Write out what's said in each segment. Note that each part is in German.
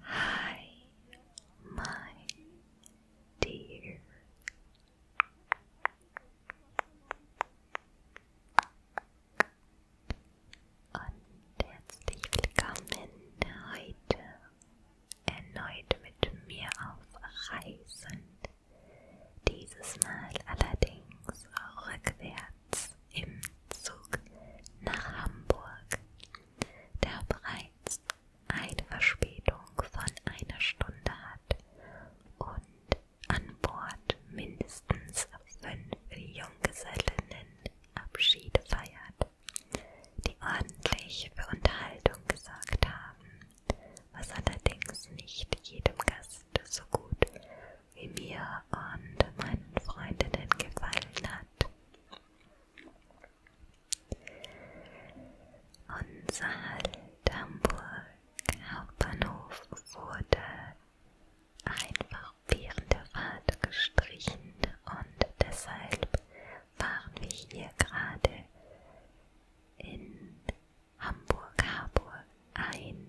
Hi, my dear. Und herzlich willkommen heute erneut mit mir auf Reisen. Dieses Mal allerdings rückwärts im Zug nach Hamburg der bereits eine Verspätung von einer Stunde hat und an Bord mindestens fünf Junggesellinnen Abschiede feiert, die ordentlich für Unterhaltung gesorgt haben, was allerdings nicht jedem Gast so gut wie mir und meinen Freundinnen gefallen hat. Unser Hamburg-Hauptbahnhof wurde einfach während der Fahrt gestrichen und deshalb waren wir hier gerade in Hamburg-Harburg ein.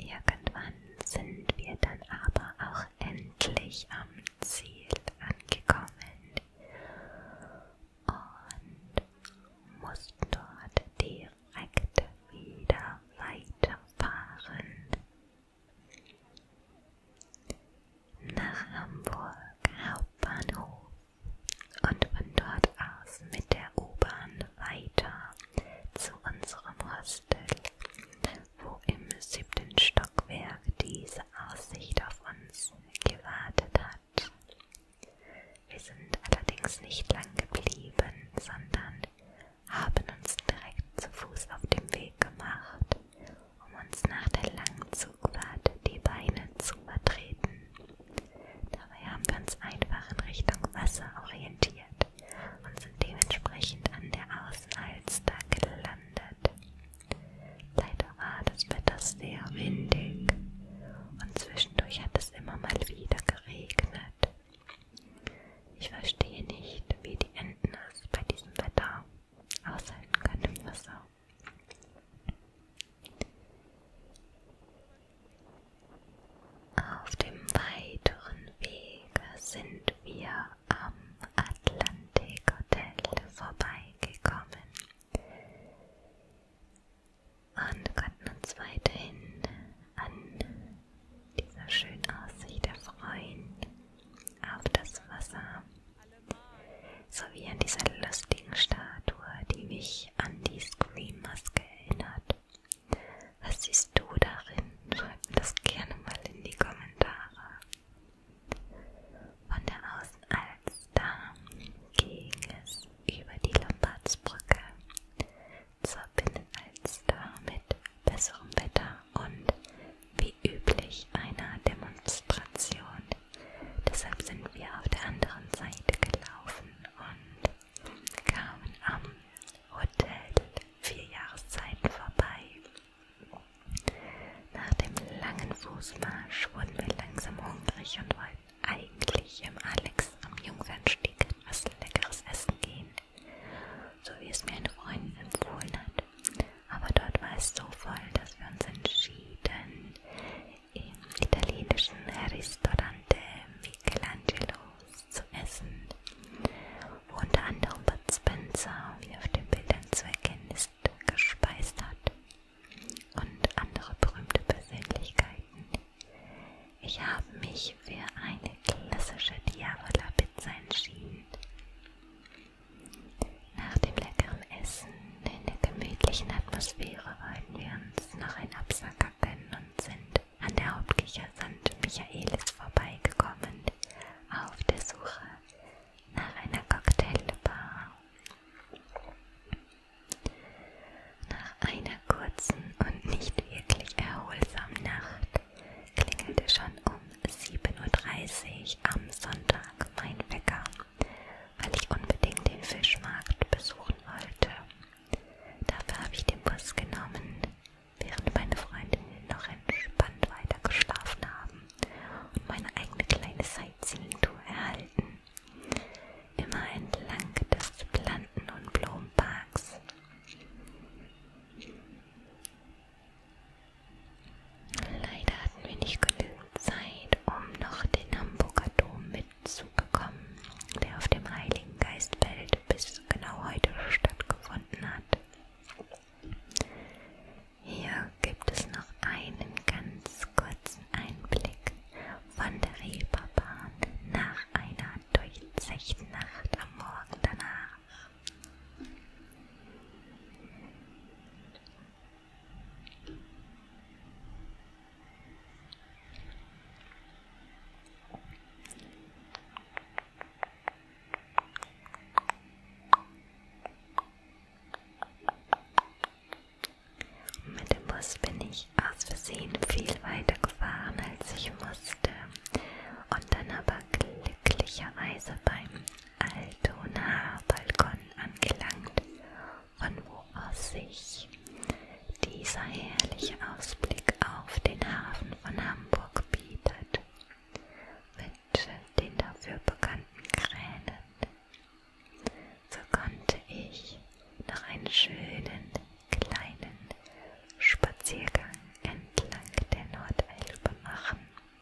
Irgendwann sind wir dann aber auch endlich am Ziel angekommen und mussten dort direkt wieder weiterfahren. Nach Hamburg Hauptbahnhof und von dort aus mit der U-Bahn weiter zu unserem Hostel, wo im siebten Stockwerk diese Aussicht auf uns gewartet hat. Wir sind allerdings nicht lang geblieben, sondern haben uns direkt zu Fuß auf den Weg gemacht um uns nach der langen Zugfahrt die Beine zu vertreten. Dabei haben wir uns einfach in Richtung Wasser orientiert und sind dementsprechend an der Außenalster gelandet. Leider war das Wetter sehr windig und zwischendurch hat es immer mal wieder geregnet. Ich verstehe nicht, wie die Enten es bei diesem Wetter aushalten können im Wasser. Auf dem weiteren Weg sind wir am Atlantik Hotel vorbeigekommen und konnten uns weiterhin an dieser schönen Aussicht erfreuen auf das Wasser, sowie an diese lustigen Statue, die mich an die Scream-Maske erinnert. Was siehst du darin? Schreib mir das gerne mal in die Kommentare. Von der Außenalster ging es über die Lombardsbrücke zur Binnenalster mit besserem Wetter und wie üblich einer Demonstration. Deshalb sind wir auf der anderen Seite gelaufen und kamen am Hotel Vier Jahreszeiten vorbei. Nach dem langen Fußmarsch wurden wir langsam hungrig und wollten eigentlich im Alex am Jungfernstieg etwas Leckeres essen gehen, so wie es mir eine Freundin empfohlen hat. Aber dort war es so voll, dass wir uns entschieden, im italienischen Ristorante Michelangelos zu essen. Wo unter anderem Bud Spencer, wie auf den Bildern zu erkennen ist, gespeist hat. Und andere berühmte Persönlichkeiten. Ich habe mich für eine klassische Diavola-Pizza entschieden. Nach dem leckeren Essen in der gemütlichen Atmosphäre wollten wir uns noch einen Absacker gönnen und sind an der Hauptkirche St. Michaelis vorbeigekommen, auf der Suche nach einer Cocktailbar. Nach einer kurzen und nicht wirklich erholsamen Nacht klingelte schon um 7.30 Uhr am Sonntag mein Wecker, weil ich unbedingt den Fischmarkt besuchen wollte. Dafür habe ich den Bus genommen, während meine Freundinnen noch entspannt weiter geschlafen haben und meine eigene kleine Sightseeing-Tour erhalten. Immer entlang des Planten- und Blumenparks. Leider hatten wir nicht genügend Zeit, um noch den Hamburger Dom mitzubekommen, der auf dem Heiligen Geistfeld bis genau heute stattgefunden hat. Hier gibt es noch einen ganz kurzen Einblick von der Reeperbahn nach einer durchzechten Nacht am Morgen danach. Mit dem Bus bin ich aus Versehen viel weiter gefahren, als ich musste, und dann aber glücklicherweise beim Altonaer Balkon angelangt, von wo aus sich dieser herrliche Ausblick auf den Hafen von Hamburg bietet, mit den dafür bekannten Kränen. So konnte ich noch einen schönen kleinen Spaziergang entlang der Nordelbe machen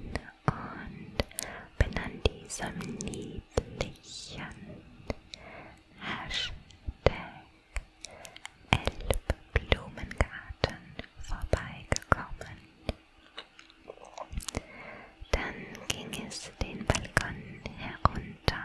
Und bin an diesem niedlichen Hashtag Elbblumengarten vorbeigekommen. Dann ging es den Balkon herunter.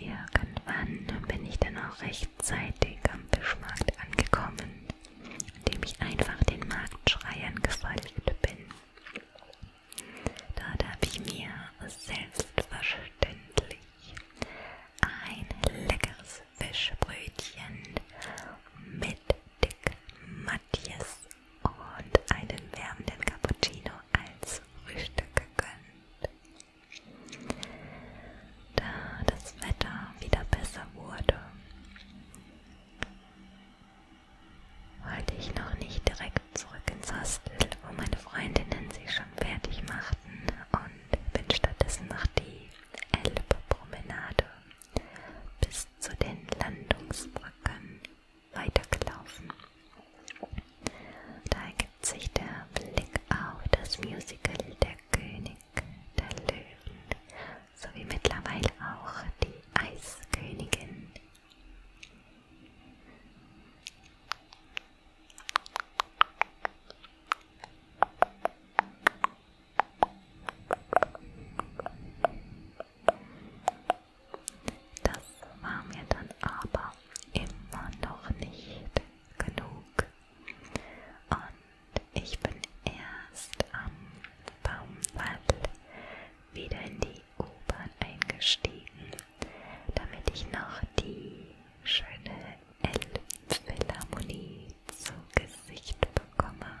Irgendwann bin ich dann auch rechtzeitig am Fischmarkt angekommen indem ich einfach den Marktschreiern gefolgt bin. Dort habe ich mir selbstverständlich ein leckeres Fischbrötchen mit dick Matthias und einen wärmenden Cappuccino als Frühstück gegönnt. Da das Wetter wieder besser wurde, wollte ich noch nicht direkt zurück ins Hostel, wo meine Freundinnen sich schon fertig machten und bin stattdessen noch die Elbpromenade bis zu den Landungsbrücken weitergelaufen. Da ergibt sich der Blick auf das Musical Der König der Löwen sowie mittlerweile auch die Eiskönigin. Das war mir dann aber immer noch nicht genug. Und ich bin erst am Baumwald wieder in die U-Bahn eingestiegen, damit ich noch die schöne Elbphilharmonie zu Gesicht bekomme.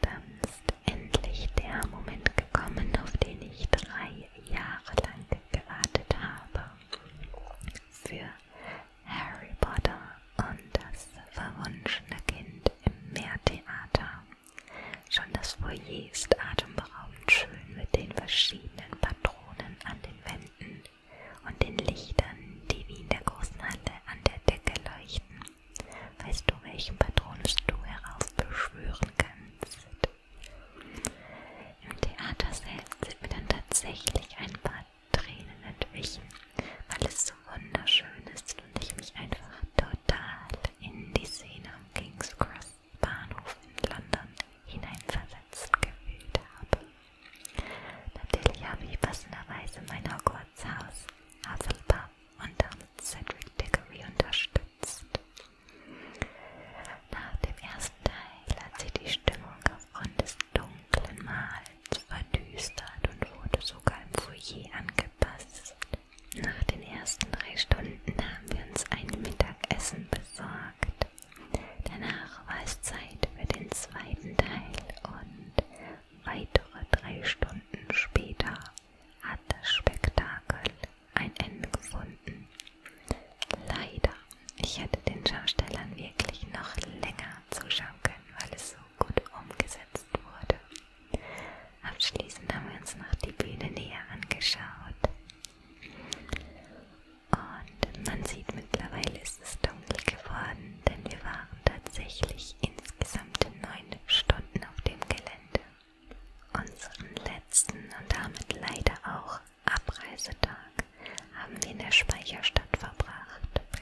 Dann ist endlich der Moment gekommen, auf den ich drei Jahre lang gewartet habe. Für Harry Potter und das verwunschene Kind im Meertheater. Schon das Foyer ist atemberaubend schön mit den verschiedenen Patronen Patronen an den Wänden und den Lichtern, die wie in der großen Halle an der Decke leuchten. Weißt du, welchen Patronus du heraufbeschwören kannst? Im Theater selbst sind mir dann tatsächlich ein paar Tränen entwichen, weil es so wunderschön ist und ich mich einfach total in die Szene um King's Cross Bahnhof in London hineinversetzt gefühlt habe. Natürlich habe ich passenderweise mein Hogwarts-Haus, Hufflepuff und damit Cedric Diggory unterstützt. Nach dem ersten Teil hat sich die Stimmung aufgrund des dunklen Mahls verdüstert und wurde sogar im Foyer angepasst. Nach den ersten drei Stunden haben wir uns ein Mittagessen besucht versorgt. Danach war es Zeit für den zweiten Teil und weitere drei Stunden später hat das Spektakel ein Ende gefunden. Leider, ich hätte den Schaustellern wirklich noch länger zuschauen können, weil es so gut umgesetzt wurde. Abschließend haben wir uns noch die Bühne näher angeschaut. Und man sieht, mittlerweile ist es dunkel geworden, denn wir waren tatsächlich insgesamt neun Stunden auf dem Gelände. Unseren letzten und damit leider auch Abreisetag haben wir in der Speicherstadt verbracht,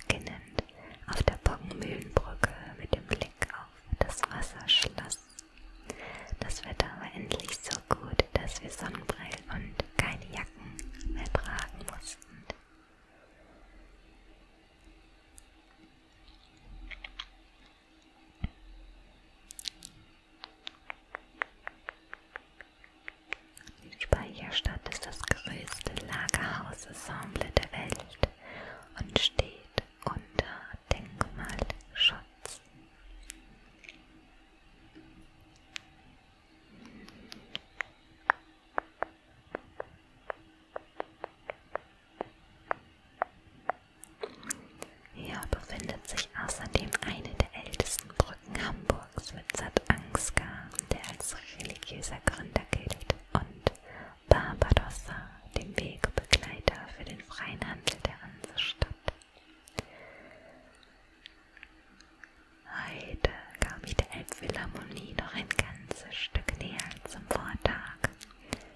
beginnend auf der Boggenmühlenbrücke mit dem Blick auf das Wasserschloss das Wetter war endlich so gut, dass wir Sonnenbrillen und keine Jacken mehr tragen mussten. Die Speicherstadt ist das größte Lagerhausensemble der Welt und steht unter Denkmalschutz. Hier befindet sich außerdem eine der ältesten Brücken Hamburgs mit Sat Ansgar, der als religiöser Gründer gilt, und Barbarossa, dem Wegbegleiter für den freien Handel der Hansestadt. Heute kam ich der Elbphilharmonie noch ein ganzes Stück näher als am Vortag.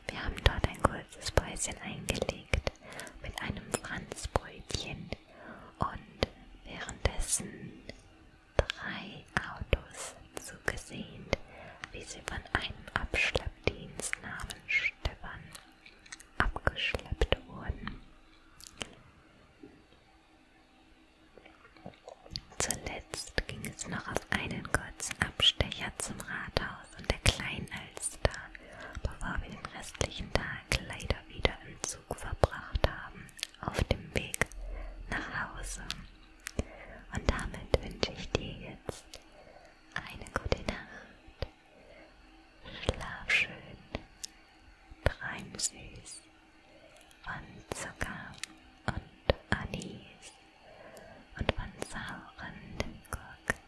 Wir haben dort ein kurzes Päuschen eingelegt mit einem Franzbrötchen und währenddessen drei Autos zugesehen, wie sie von einem Abschleppdienst namen Stefan abgeschleppt wurden. Zuletzt ging es noch auf einen kurzen Abstecher zum Rathaus und der kleinen Alster, bevor wir den restlichen Tag leider wieder im Zug verbracht haben, auf dem Weg nach Hause. Und damit wünsche ich dir jetzt eine gute Nacht Schlaf schön, treimsüß von Zucker und Anis und von sauren Gurken.